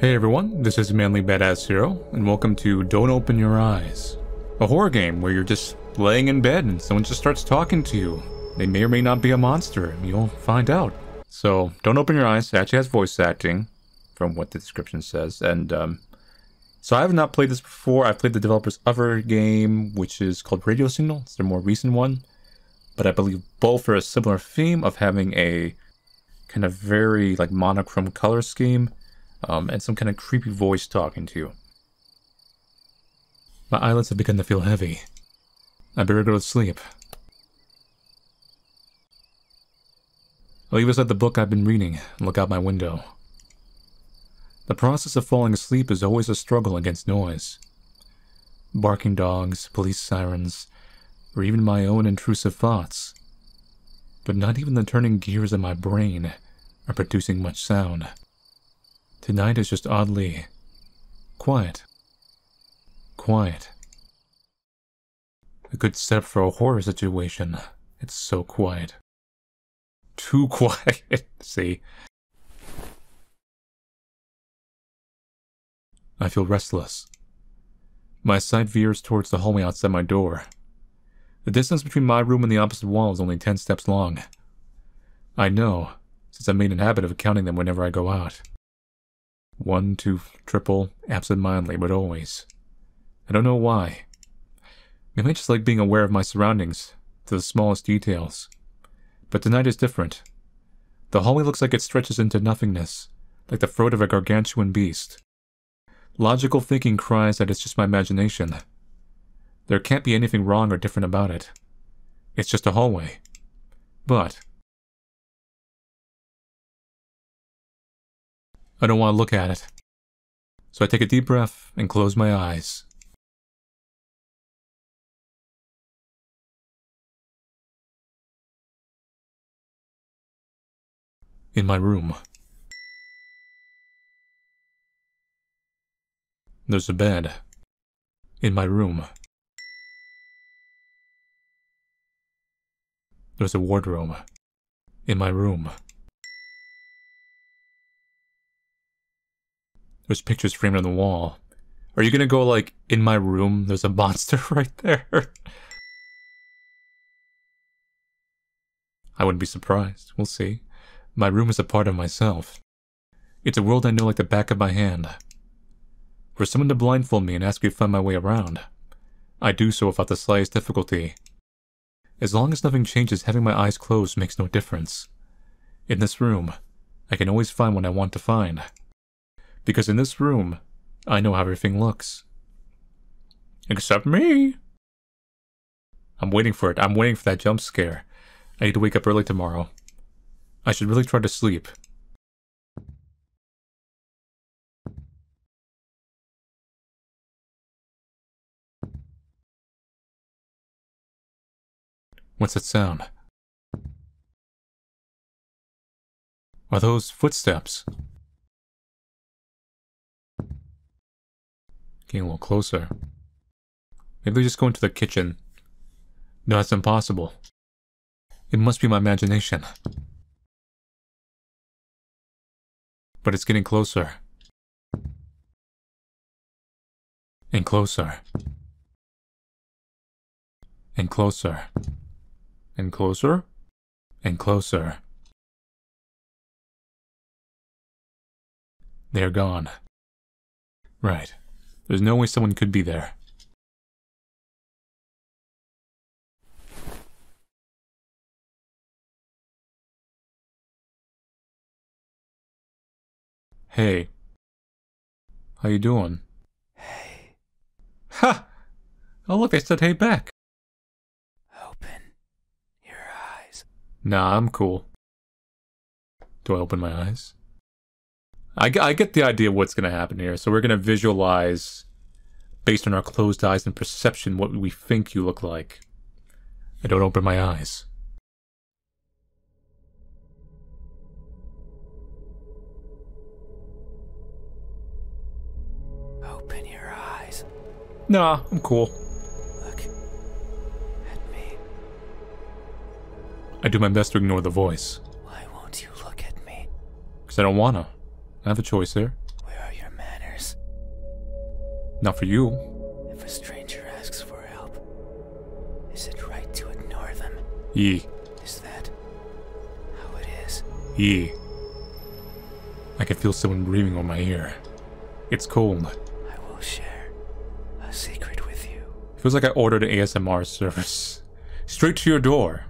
Hey everyone, this is Manly Badass Zero, and welcome to Don't Open Your Eyes, a horror game where you're just laying in bed and someone just starts talking to you. They may or may not be a monster, you'll find out. So, Don't Open Your Eyes actually has voice acting, from what the description says, and um, so I have not played this before. I've played the developer's other game, which is called Radio Signal. It's their more recent one, but I believe both are a similar theme of having a kind of very like monochrome color scheme, um, and some kind of creepy voice talking to you. My eyelids have begun to feel heavy. I better go to sleep. I'll leave aside the book I've been reading and look out my window. The process of falling asleep is always a struggle against noise. Barking dogs, police sirens, or even my own intrusive thoughts. But not even the turning gears of my brain are producing much sound. Tonight is just oddly quiet. Quiet. A good setup for a horror situation. It's so quiet. Too quiet, see? I feel restless. My sight veers towards the hallway outside my door. The distance between my room and the opposite wall is only ten steps long. I know, since I made an habit of counting them whenever I go out. One, two, triple, absent-mindedly, but always. I don't know why. Maybe I just like being aware of my surroundings, to the smallest details. But tonight is different. The hallway looks like it stretches into nothingness, like the throat of a gargantuan beast. Logical thinking cries that it's just my imagination. There can't be anything wrong or different about it. It's just a hallway. But... I don't want to look at it. So I take a deep breath and close my eyes. In my room. There's a bed. In my room. There's a wardrobe. In my room. There's pictures framed on the wall. Are you gonna go like, in my room, there's a monster right there? I wouldn't be surprised. We'll see. My room is a part of myself. It's a world I know like the back of my hand. For someone to blindfold me and ask me to find my way around, I do so without the slightest difficulty. As long as nothing changes, having my eyes closed makes no difference. In this room, I can always find what I want to find. Because in this room, I know how everything looks. Except me. I'm waiting for it. I'm waiting for that jump scare. I need to wake up early tomorrow. I should really try to sleep. What's that sound? Are those footsteps? Getting a little closer. Maybe they're just going to the kitchen. No, that's impossible. It must be my imagination. But it's getting closer. And closer. And closer. And closer? and closer. They're gone. Right. There's no way someone could be there. Hey. How you doing? Hey. Ha! Oh look, they said hey back back. Open your eyes. Nah, I'm cool. Do I open my eyes? I, I get the idea of what's going to happen here. So we're going to visualize, based on our closed eyes and perception, what we think you look like. I don't open my eyes. No, I'm cool. I do my best to ignore the voice. Why won't you look at me? Because I don't wanna. I have a choice there. Where are your manners? Not for you. If a stranger asks for help, is it right to ignore them? Ye. Is that how it is? Ye. I can feel someone breathing on my ear. It's cold. I will share a secret with you. Feels like I ordered an ASMR service. Straight to your door.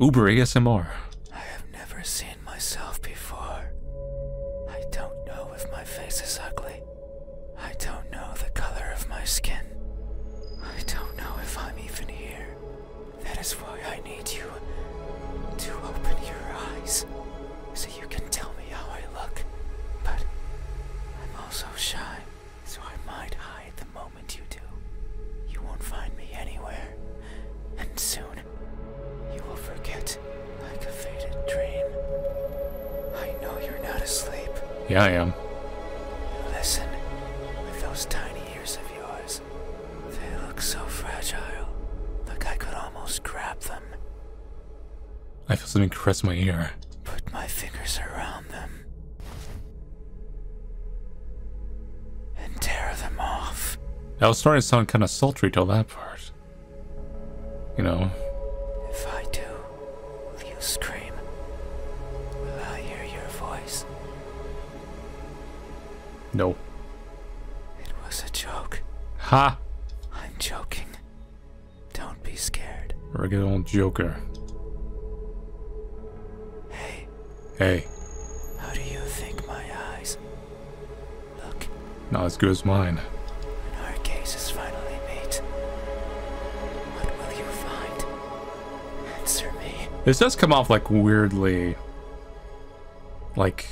Uber ASMR. I have never seen myself before. I don't know if my face is ugly. I don't know the color of my skin. I don't know if I'm even here. That is why I need you to open your eyes so you can tell me how I look. But I'm also shy, so I might hide the moment you do. You won't find me anywhere, and soon you will forget like a faded dream. I know you're not asleep. Yeah, I am. Listen with those tiny ears of yours. They look so fragile. Like I could almost grab them. I feel something caress my ear. Put my fingers around them. And tear them off. I was starting to sound kind of sultry till that part. You know. If I do, will you scream? Will I hear your voice? No. It was a joke. Ha! I'm joking. Don't be scared. Regular old Joker. Hey. Hey. How do you think my eyes look? Not as good as mine. When our case finally made, what will you find? Answer me. This does come off like weirdly like,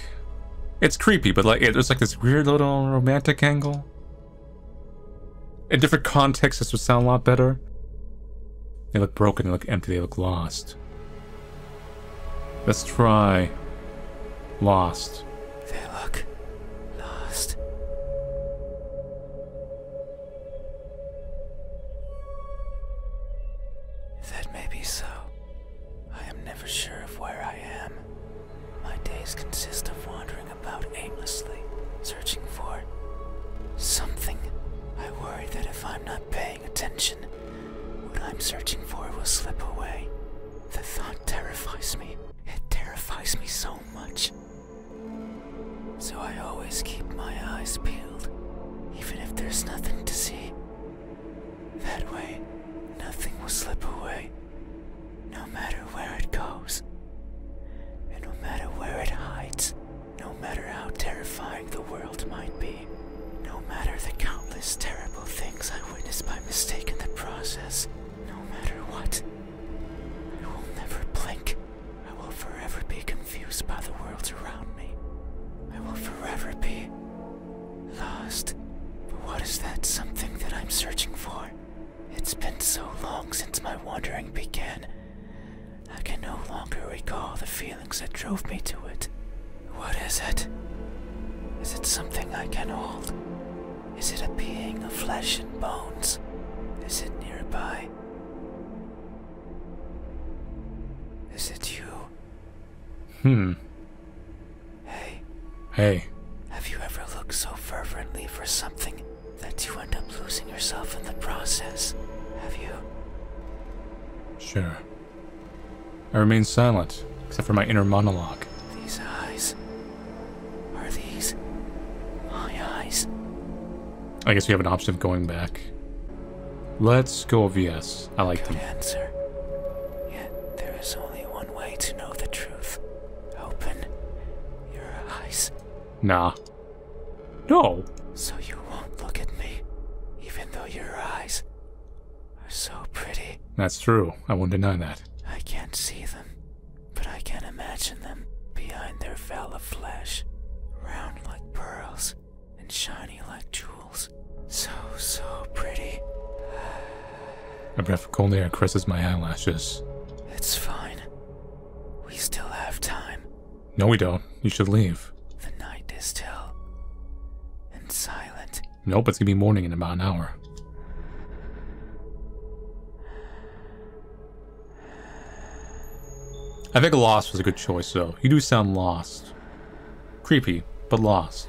it's creepy, but like, it was like this weird little romantic angle. In different contexts, this would sound a lot better. They look broken, they look empty, they look lost. Let's try. Lost. They look lost. That may be so. I am never sure of where I am. My days consist of wandering about aimlessly, searching for something. I worry that if I'm not paying attention, what I'm searching for will slip away. The thought terrifies me. It terrifies me so much. So I always keep my eyes peeled, even if there's nothing to see. That way, nothing will slip away, no matter where it goes. And no matter where it hides, no matter how terrifying the world might be, no matter the countless terrible things I witness by mistake in the process, no matter what, I will never blink. I will forever be confused by the world around me. I will forever be Lost. But what is that something that I'm searching for? It's been so long since my wandering began. I can no longer recall the feelings that drove me to it. What is it? Is it something I can hold? Is it a being of flesh and bones? Is it nearby? Is it you? Hmm. Hey. Hey. Have you ever looked so fervently for something that you end up losing yourself in the process? Have you? Sure. I remain silent, except for my inner monologue. These eyes. Are these my eyes? I guess we have an option of going back. Let's go obvious. I like Good them. answer. there is only one way to know the truth. Open your eyes. Nah. No. So you won't look at me, even though your eyes are so pretty. That's true. I won't deny that. I can't see them, but I can imagine them behind their veil of flesh, round like pearls and shiny like jewels. So, so pretty. A breath of cold air caresses my eyelashes. It's fine. We still have time. No, we don't. You should leave. The night is still and silent. Nope, it's gonna be morning in about an hour. I think Lost was a good choice, though. You do sound lost. Creepy, but lost.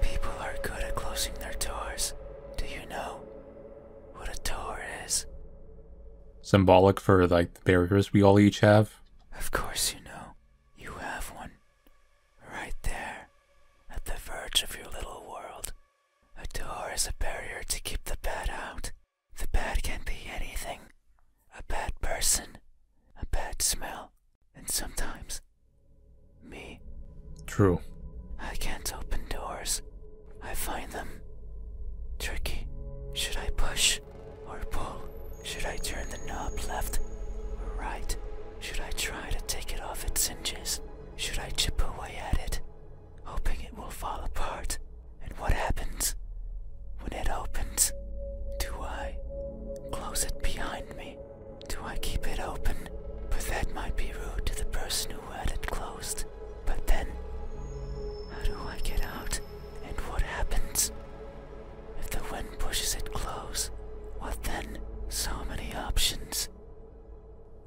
People are good at closing their doors. Do you know what a door is? Symbolic for like the barriers we all each have? Of course you know. You have one. Right there, at the verge of your little world. A door is a barrier to keep the bad out. The bad can be anything a bad person, a bad smell, and sometimes me. True. I can't open doors. I find them tricky. Should I push or pull? Should I turn the knob left or right? Should I try to take it off its hinges? Should I chip away at it, hoping it will fall apart? And what happens when it opens? Do I Close it behind me. Do I keep it open? But that might be rude to the person who had it closed. But then, how do I get out? And what happens? If the wind pushes it close, what then? So many options.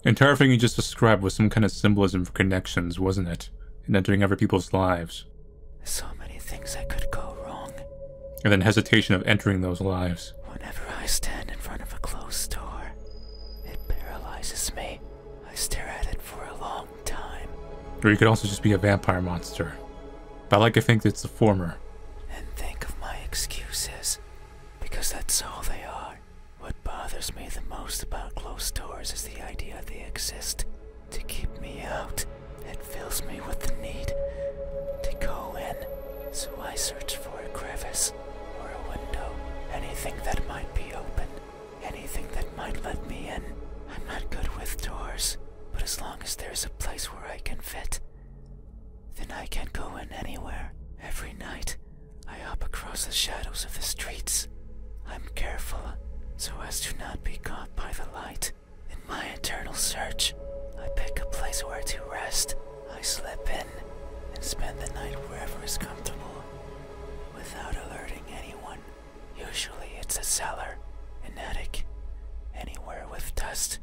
Entire thing you just described was some kind of symbolism for connections, wasn't it? And entering other people's lives. So many things that could go wrong. And then hesitation of entering those lives. Whenever I stand in front of a closed door, it paralyzes me. I stare at it for a long time. Or you could also just be a vampire monster. But I like to think it's the former. And think of my excuses, because that's all they are. What bothers me the most about closed doors is the idea they exist to keep me out. It fills me with the need to go in, so I search for a crevice or a window, anything that might be open, anything that might let me in. I'm not good with doors, but as long as there's a place where I can fit, then I can go in anywhere. Every night, I hop across the shadows of the streets. I'm careful so as to not be caught by the light. In my eternal search, I pick a place where to rest. I slip in and spend the night wherever is comfortable, without alerting anyone. Usually it's a cellar, an attic, anywhere with dust,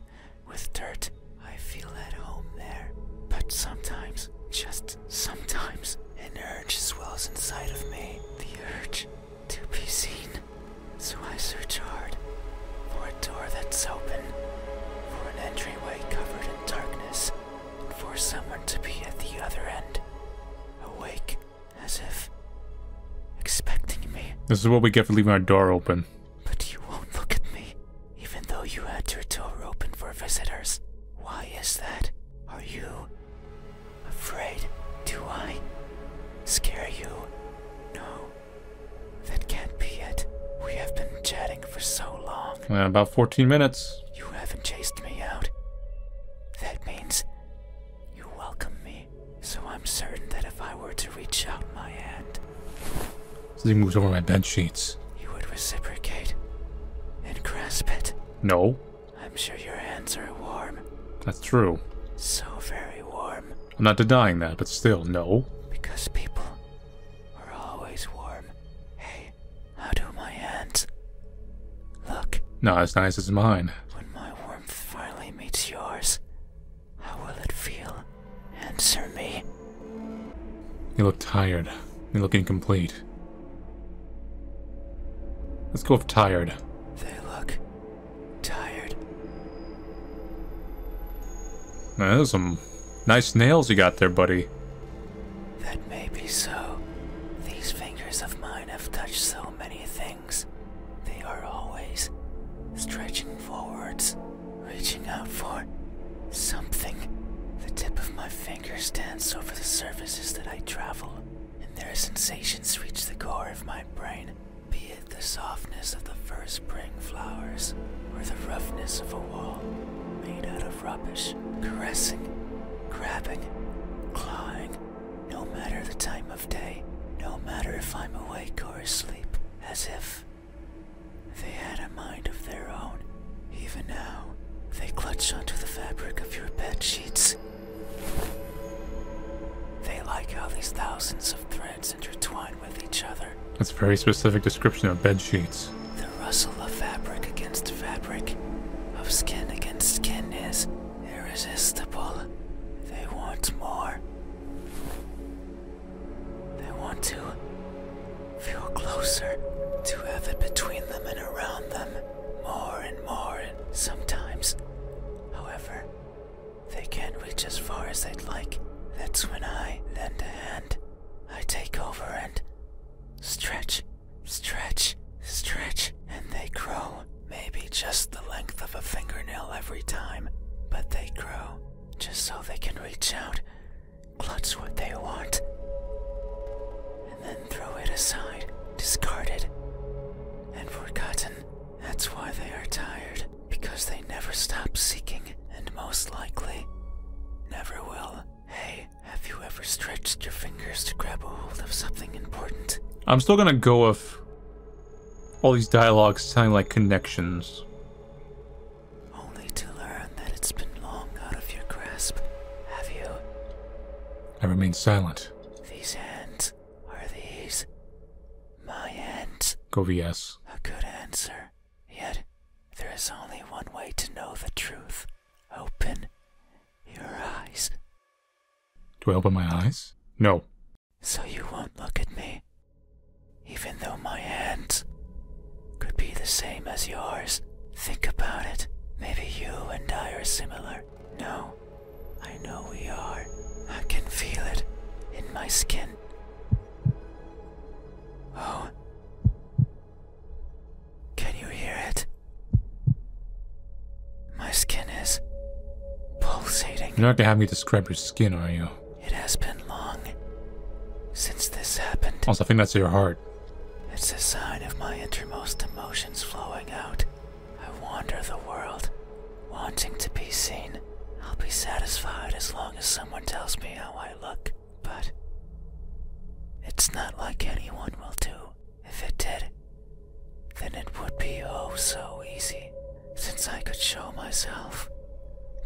with dirt. I feel at home there. But sometimes, just sometimes, an urge swells inside of me. The urge to be seen. So I search hard for a door that's open, for an entryway covered in darkness, and for someone to be at the other end, awake as if expecting me. This is what we get for leaving our door open. But you won't look at me, even though you had your door open for visitors. Why is that? Are you afraid? Do I scare you? No. That can't be it. We have been chatting for so long. about 14 minutes. You haven't chased me out. That means you welcome me. So I'm certain that if I were to reach out my hand. So he moves over my bed sheets. You would reciprocate and grasp it. No. I'm sure your hands are warm. That's true. So very warm. I'm not denying that, but still, no. Because people are always warm. Hey, how do my hands look? Not as nice as mine. When my warmth finally meets yours, how will it feel? Answer me. You look tired. You look incomplete. Let's go with tired. They look Tired. That is some nice nails you got there, buddy. That may be so. These fingers of mine have touched so many things. They are always stretching forwards, reaching out for something. The tip of my finger stands over the surfaces that I travel, and their sensations reach the core of my brain be it the softness of the first spring flowers or the roughness of a wall made out of rubbish, caressing, grabbing, clawing, no matter the time of day, no matter if I'm awake or asleep, as if they had a mind of their own. Even now, they clutch onto the fabric of your bed sheets. They like how these thousands of threads that's a very specific description of bed sheets. The rustle of fabric against fabric, of skin against skin is irresistible. They want more. They want to feel closer, to have it between them and around them, more and more, and sometimes, however, they can't reach as far as they would like. That's when I lend a hand. I take over and stretch, stretch, stretch, and they grow. Maybe just the length of a fingernail every time, but they grow just so they can reach out, clutch what they want, and then throw it aside, discarded, and forgotten. That's why they are tired because they never stop seeking and most likely never will. Hey, have you ever stretched your fingers to grab a hold of something important? I'm still gonna go with all these dialogues sounding like connections. Only to learn that it's been long out of your grasp, have you? I remain silent. These hands are these my hands Go VS. A good answer. Yet, there is only one way to know the truth. Open your eyes. Do I open my eyes? No. So you won't look at me. Even though my hands could be the same as yours. Think about it. Maybe you and I are similar. No, I know we are. I can feel it in my skin. Oh. Can you hear it? My skin is pulsating. You're not gonna have me describe your skin, are you? It has been long since this happened. Also, I think that's your heart. It's a sign of my innermost emotions flowing out. I wander the world, wanting to be seen. I'll be satisfied as long as someone tells me how I look, but it's not like anyone will do. If it did, then it would be oh so easy, since I could show myself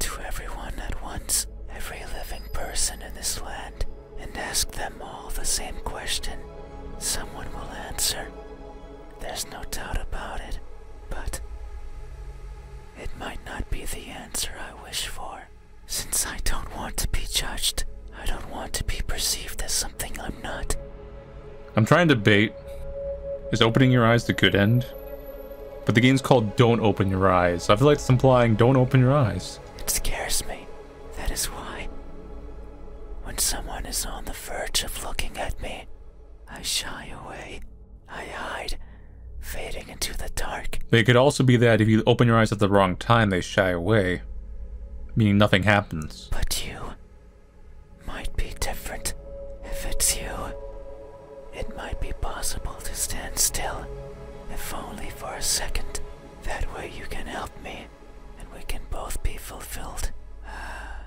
to everyone at once, every living person in this land, and ask them all the same question. Someone will answer. There's no doubt about it, but it might not be the answer I wish for. Since I don't want to be judged, I don't want to be perceived as something I'm not. I'm trying to bait. Is opening your eyes the good end? But the game's called Don't Open Your Eyes. I feel like it's implying don't open your eyes. It scares me. That is why. When someone is on the verge of looking at me, I shy away. They could also be that if you open your eyes at the wrong time, they shy away, meaning nothing happens. But you might be different. If it's you, it might be possible to stand still, if only for a second. That way you can help me, and we can both be fulfilled. Ah,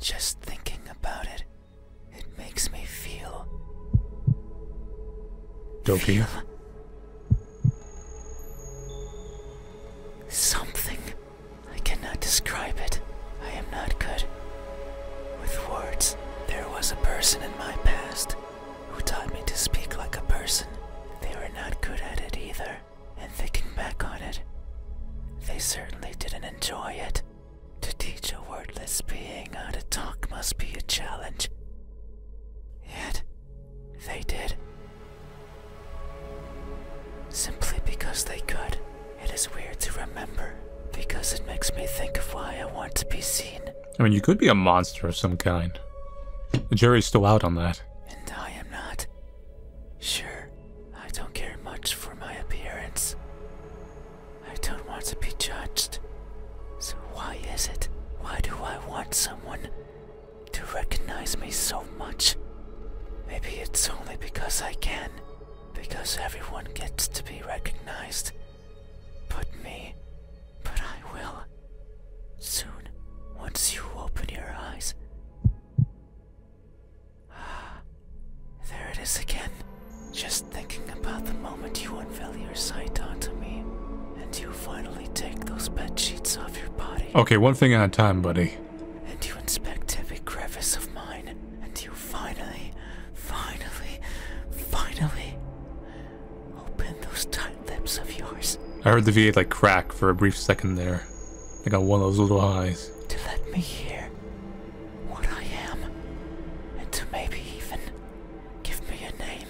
just thinking about it it makes me feel. Don't feel Something. I cannot describe it. I am not good with words. There was a person in my past who taught me to speak like a person. They were not good at it either, and thinking back on it, they certainly didn't enjoy it. To teach a wordless being how to talk must be a challenge. Yet, they did. Simply because they could. It is weird to remember because it makes me think of why I want to be seen. I mean, you could be a monster of some kind. The jury's still out on that. And I am not. Sure, I don't care much for my appearance. I don't want to be judged. So why is it? Why do I want someone to recognize me so much? Maybe it's only because I can. Because everyone gets to be recognized. But me. But I will. Soon, once you open your eyes. There it is again. Just thinking about the moment you unveil your sight onto me, and you finally take those bed sheets off your body. Okay, one thing at a time, buddy. And you inspect every crevice of mine, and you finally, finally, finally open those tight lips of yours. I heard the V8 like crack for a brief second there. I got one of those little eyes. To let me hear what I am, and to maybe even give me a name.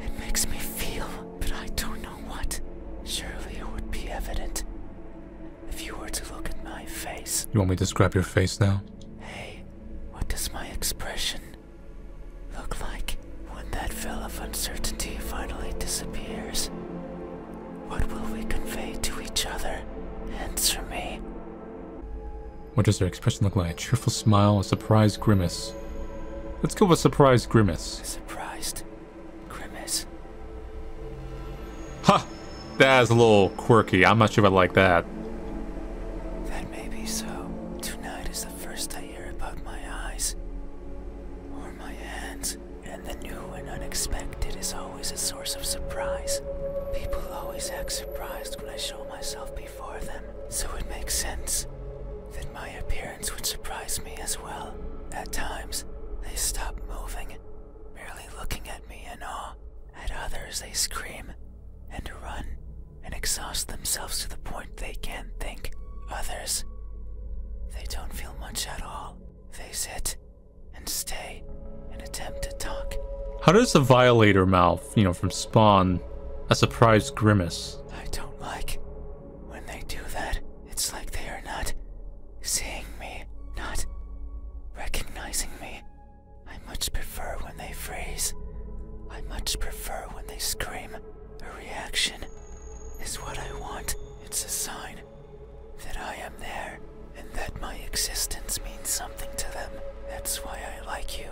It makes me feel, but I don't know what. Surely it would be evident if you were to look at my face. You want me to describe your face now? Hey, what does my expression look like when that veil of uncertainty finally disappears? What will we convey to each other? Answer me. What does her expression look like? A cheerful smile, a surprised grimace. Let's go with surprised grimace. Surprised grimace. Ha! Huh. That's a little quirky. I'm not sure if I like that. That may be so. Tonight is the first I hear about my eyes. Or my hands. And the new and unexpected is always a source of surprise. People always act surprised when I show myself before them, so it makes sense that my appearance would surprise me as well. At times, they stop moving, merely looking at me in awe. At others, they scream and run and exhaust themselves to the point they can't think. Others, they don't feel much at all. They sit and stay and attempt to talk. How does the violator mouth, you know, from Spawn, a surprised grimace? I don't like when they do that. It's like they are not seeing me, not recognizing me. I much prefer when they freeze. I much prefer when they scream. A reaction is what I want. It's a sign that I am there and that my existence means something to them. That's why I like you.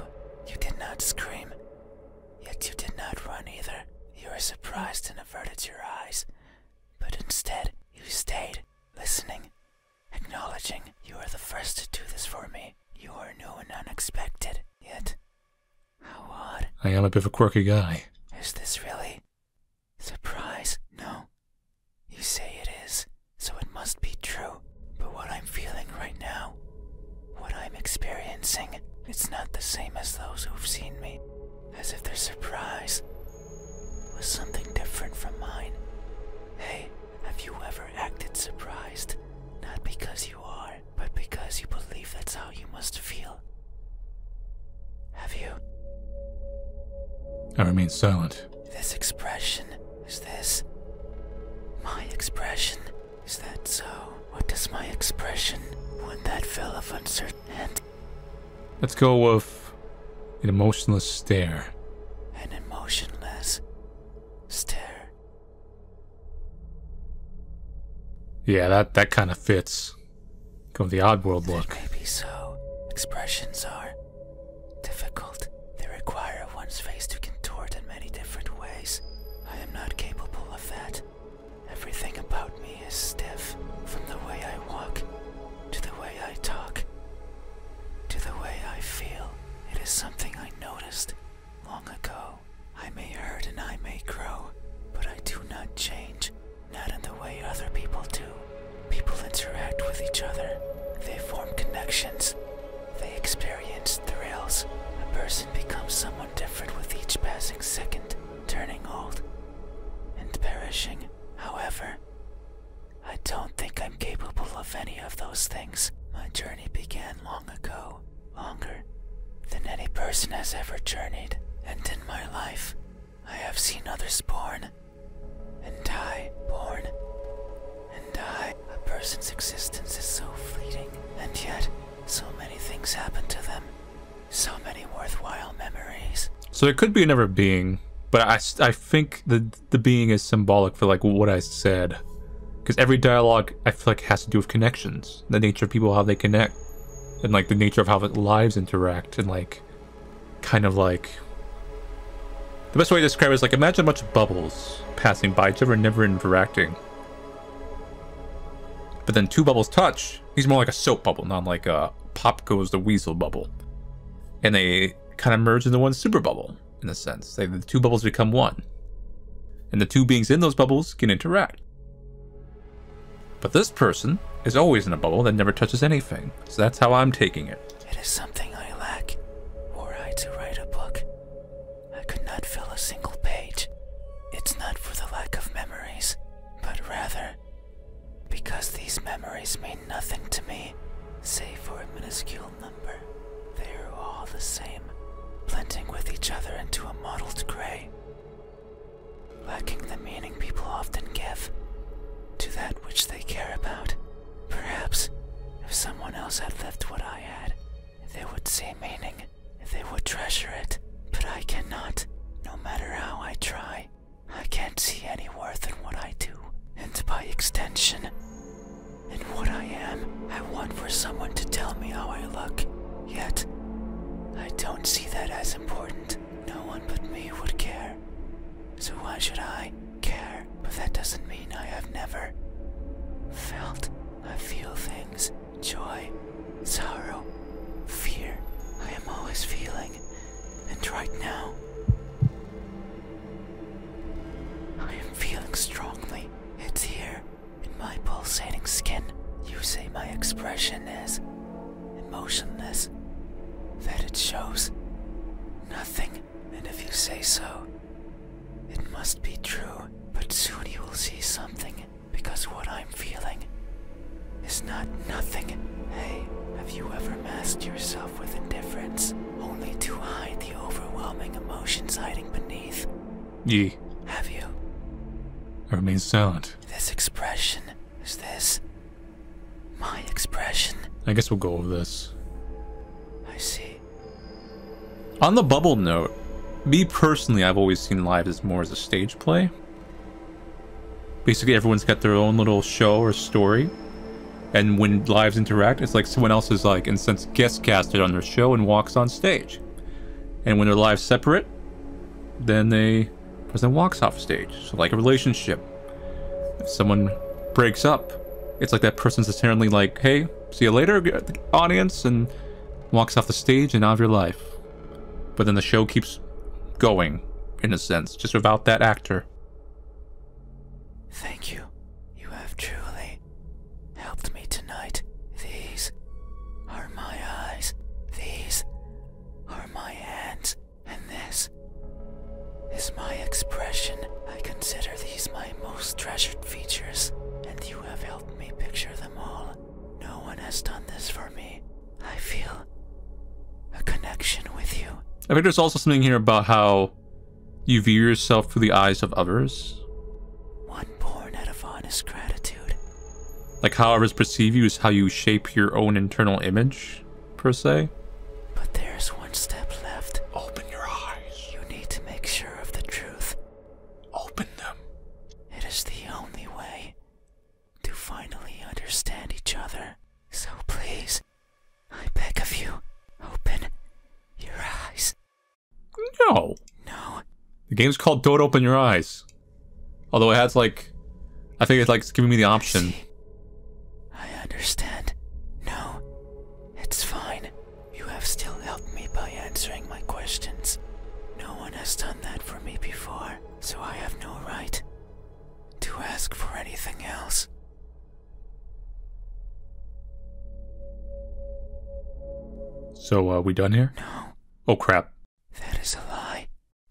You did not scream, yet you did not run either. You were surprised and averted your eyes, but instead, you stayed, listening, acknowledging you are the first to do this for me. You are new and unexpected, yet, how odd. I am a bit of a quirky guy. Is this really Surprise? No. You say it is, so it must be true. But what I'm feeling right now, what I'm experiencing, it's not the same as those who've seen me. As if their surprise was something different from mine. Hey, have you ever acted surprised? Not because you are, but because you believe that's how you must feel. Have you? I remain silent, this expression is this. My expression. Is that so? What does my expression when that fell of uncertainty? Let's go with an emotionless stare. An emotionless stare. Yeah, that, that kind of fits. Go the odd world. look. Maybe so. Expressions are difficult. They require one's face to contort in many different ways. I am not capable of that. Everything about me is stiff, from the way I walk, to the way I talk, to the way I feel. It is something I noticed long ago. I may hurt and I may grow, but I do not change. Not in the way other people do. People interact with each other, they form connections, they experience thrills. A person becomes someone different with each passing second, turning old and perishing. However, I don't think I'm capable of any of those things. My journey began long ago, longer than any person has ever journeyed, and in my life, I have seen others born, and die, born, and die. A person's existence is so fleeting, and yet so many things happen to them. So many worthwhile memories. So there could be never being, but I, I think the the being is symbolic for like what I said, because every dialogue I feel like has to do with connections, the nature of people, how they connect, and like the nature of how the lives interact, and like kind of like the best way to describe it is like imagine a bunch of bubbles passing by each other, never interacting. But then two bubbles touch. He's more like a soap bubble, not like a pop goes the weasel bubble. And they kind of merge into one super bubble, in a sense. They, the two bubbles become one. And the two beings in those bubbles can interact. But this person is always in a bubble that never touches anything. So that's how I'm taking it. It is something I lack. Were I to write a book, I could not fill a single page. It's not for the lack of memories, but rather because these memories mean nothing to me, save for a minuscule number. They are all the same, blending with each other into a mottled gray, lacking the meaning people often give to that which they care about. Perhaps if someone else had left what I had, they would see meaning, they would treasure it, but I cannot. No matter how I try, I can't see any worth in what I do, and by extension, in what I am. I want for someone to tell me how I look, yet, I don't see that as important. No one but me would care. So why should I? care, but that doesn't mean I have never felt. I feel things joy, sorrow, fear. I am always feeling, and right now, I am feeling strongly. It's here, in my pulsating skin. You say my expression is emotionless, that it shows Nothing, and if you say so, it must be true. But soon you will see something, because what I'm feeling is not nothing. Hey, have you ever masked yourself with indifference, only to hide the overwhelming emotions hiding beneath? Ye. Have you? I remain silent. This expression is this my expression. I guess we'll go over this. I see. On the bubble note, me personally, I've always seen live as more as a stage play. Basically, everyone's got their own little show or story. And when lives interact, it's like someone else is like, and sense, guest casted on their show and walks on stage. And when their lives separate, then they person walks off stage. So like a relationship. If someone breaks up, it's like that person's apparently like, hey, see you later, audience, and walks off the stage and out of your life. But then the show keeps going, in a sense, just without that actor. Thank you. You have truly helped me tonight. These are my eyes. These are my hands. And this is my expression. I consider these my most treasured features, and you have helped me picture them all. No one has done this for me. I feel a connection with you. I think there's also something here about how you view yourself through the eyes of others. One born out of honest gratitude. Like how others perceive you is how you shape your own internal image per se. But there's one step left. Open your eyes. You need to make sure of the truth. Open them. It is the only way to finally understand each other. So please, I beg of you, open your eyes. No. No. The game's called Don't Open Your Eyes. Although it has like, I think it's like it's giving me the option. I understand. No, it's fine. You have still helped me by answering my questions. No one has done that for me before, so I have no right to ask for anything else. So, are uh, we done here? No. Oh, crap. That is a lie.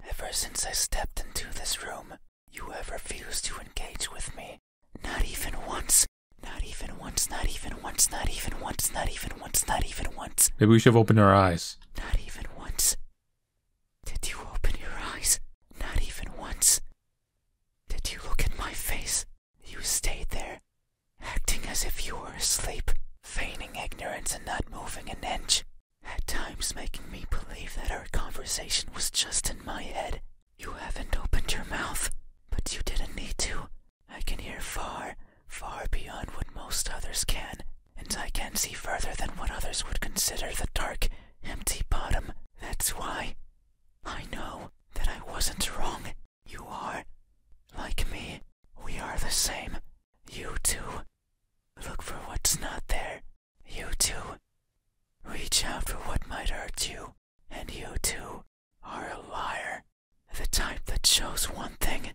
Ever since I stepped into this room, you have refused to engage with me. Not even once. Not even once. Not even once. Not even once. Not even once. Not even once. Maybe we should have opened our eyes. Not even once. Did you open your eyes? Not even once. Did you look at my face? You stayed there, acting as if you were asleep, feigning ignorance and not moving an inch, at times making me believe that our conversation was just in my head. You haven't opened your mouth, but you didn't need to. I can hear far, far beyond what most others can, and I can see further than what others would consider the dark, empty bottom. That's why I know that I wasn't wrong. You are, like me, we are the same. You too. Look for what's not there. You too. Reach out for what might hurt you, and you too are a liar. The type that shows one thing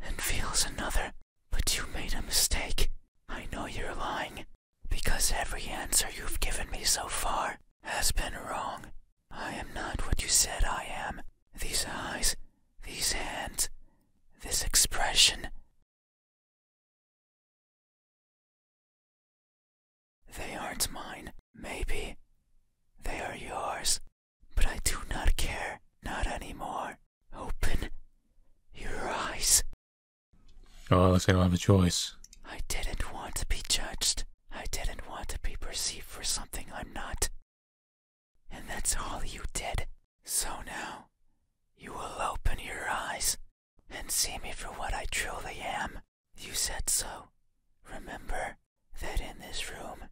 and feels another. But you made a mistake. I know you're lying, because every answer you've given me so far has been wrong. I am not what you said I am. These eyes, these hands, this expression, they aren't mine, maybe. They are yours, but I do not care, not anymore. Open your eyes. Oh, I us say I don't have a choice. I didn't want to be judged. I didn't want to be perceived for something I'm not. And that's all you did. So now, you will open your eyes and see me for what I truly am. You said so. Remember that in this room,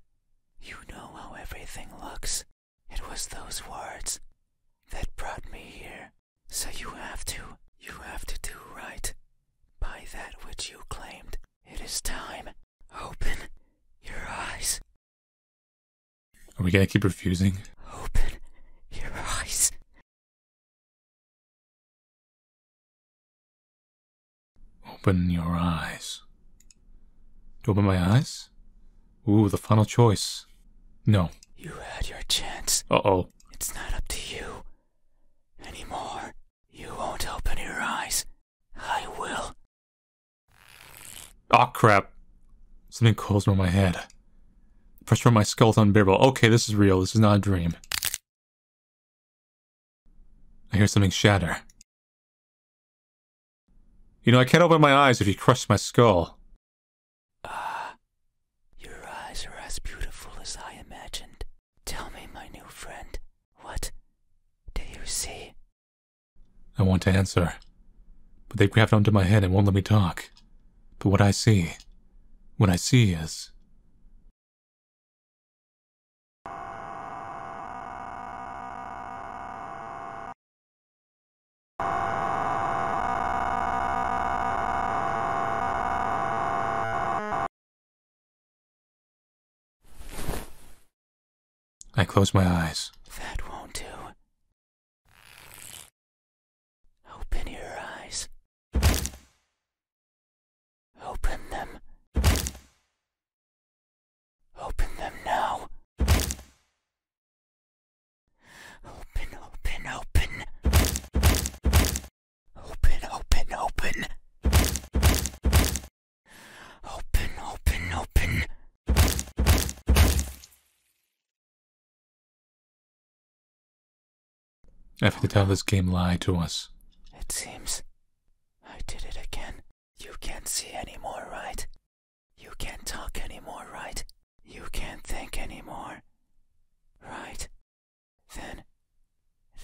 you know how everything looks. It was those words that brought me here. So you have to, you have to do right by that which you claimed. It is time. Open your eyes. Are we gonna keep refusing? Open your eyes. Open your eyes. To open my eyes? Ooh, the final choice. No. You had your chance. Uh oh. It's not up to you anymore. You won't open your eyes. I will. Oh crap. Something crawls over my head. Press from my skeleton beer bowl. Okay, this is real. This is not a dream. I hear something shatter. You know, I can't open my eyes if you crush my skull. Ah, your eyes are as beautiful as I imagined. Tell me, my new friend, what do you see? I want to answer, but they grabbed onto my head and won't let me talk. But what I see, what I see is. I close my eyes. That won't do. Open your eyes. Open them. Open them now. Open, open, open. Open, open, open. Open, open, open. After Dallas game lied to us. It seems I did it again. You can't see anymore, right? You can't talk anymore, right? You can't think anymore, right? Then,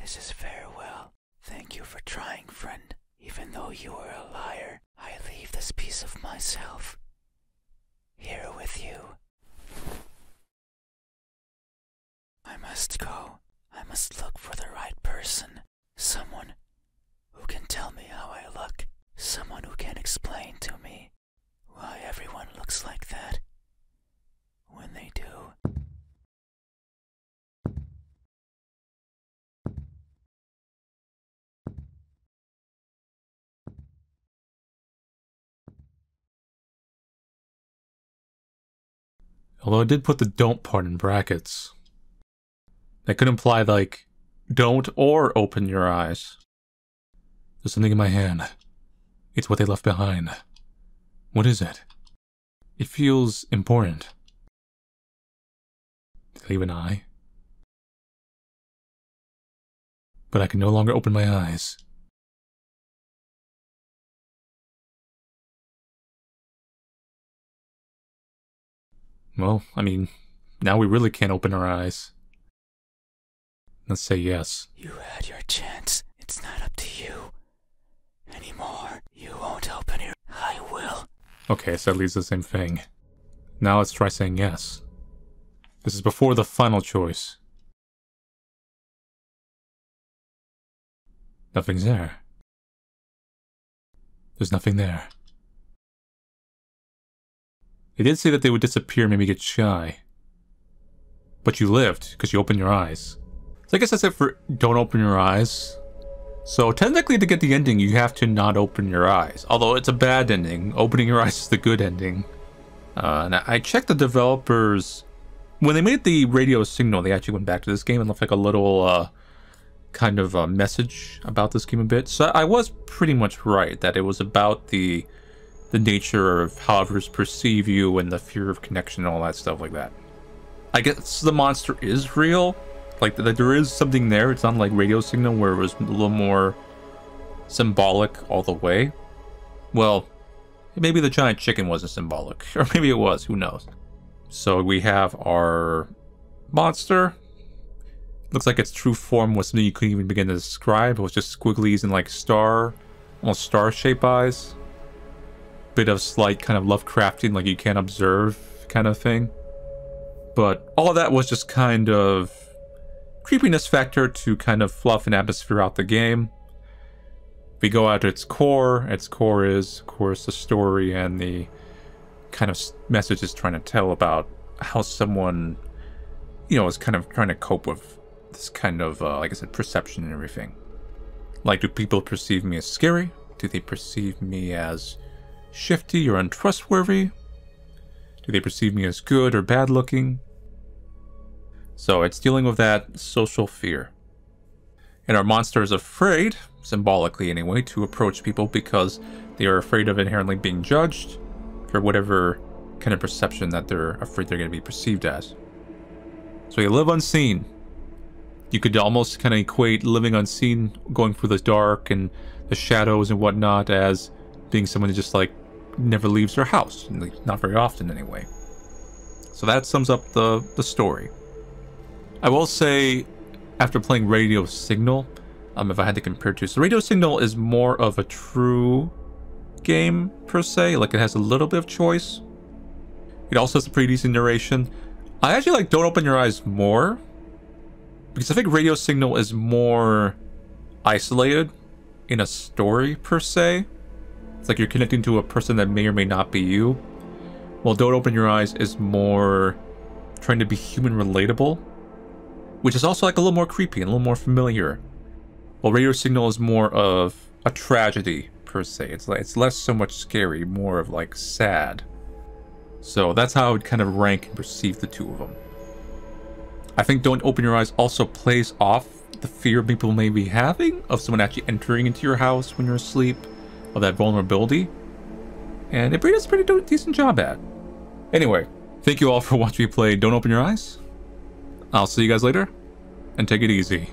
this is farewell. Thank you for trying, friend. Even though you are a liar, I leave this piece of myself here with you. I must go. I must look for the right person. Someone who can tell me how I look. Someone who can explain to me why everyone looks like that when they do. Although I did put the don't part in brackets. That could imply, like, don't or open your eyes. There's something in my hand. It's what they left behind. What is it? It feels important. Did leave an eye? But I can no longer open my eyes. Well, I mean, now we really can't open our eyes. Let's say yes. You had your chance. It's not up to you anymore. You won't open your. I will. Okay, so that leaves the same thing. Now let's try saying yes. This is before the final choice. Nothing's there. There's nothing there. They did say that they would disappear, me get shy. But you lived, because you opened your eyes. So I guess that's it for don't open your eyes. So technically to get the ending, you have to not open your eyes. Although it's a bad ending. Opening your eyes is the good ending. Uh, I checked the developers when they made the radio signal. They actually went back to this game and left like a little uh, kind of a message about this game a bit. So I was pretty much right that it was about the the nature of how others perceive you and the fear of connection and all that stuff like that. I guess the monster is real. Like, the, there is something there. It's not like Radio Signal where it was a little more symbolic all the way. Well, Maybe the giant chicken wasn't symbolic, or maybe it was, who knows. So we have our monster. Looks like its true form was something you couldn't even begin to describe. It was just squigglies and like star, almost star-shaped eyes. Bit of slight kind of Lovecraftian, like you can't observe kind of thing. But all that was just kind of creepiness factor to kind of fluff and atmosphere out the game. If we go out to its core, its core is, of course, the story and the kind of messages trying to tell about how someone, you know, is kind of trying to cope with this kind of, uh, like I said, perception and everything. Like, do people perceive me as scary? Do they perceive me as shifty or untrustworthy? Do they perceive me as good or bad looking? So it's dealing with that social fear. And our monster is afraid, symbolically anyway, to approach people because they are afraid of inherently being judged for whatever kind of perception that they're afraid they're going to be perceived as. So you live unseen. You could almost kind of equate living unseen, going through the dark and the shadows and whatnot, as being someone who just like never leaves her house, not very often anyway. So that sums up the, the story. I will say, after playing Radio Signal, um, if I had to compare to, so Radio Signal is more of a true game, per se. Like, it has a little bit of choice. It also has a pretty decent narration. I actually like Don't Open Your Eyes more, because I think Radio Signal is more isolated in a story per se. It's like you're connecting to a person that may or may not be you. While Don't Open Your Eyes is more trying to be human relatable, which is also like a little more creepy and a little more familiar. While Radio Signal is more of a tragedy per se. It's like it's less so much scary, more of like sad. So that's how I would kind of rank and perceive the two of them. I think Don't Open Your Eyes also plays off the fear people may be having of someone actually entering into your house when you're asleep, of that vulnerability. And it does a pretty decent job at. Anyway, thank you all for watching me play Don't Open Your Eyes. I'll see you guys later, and take it easy.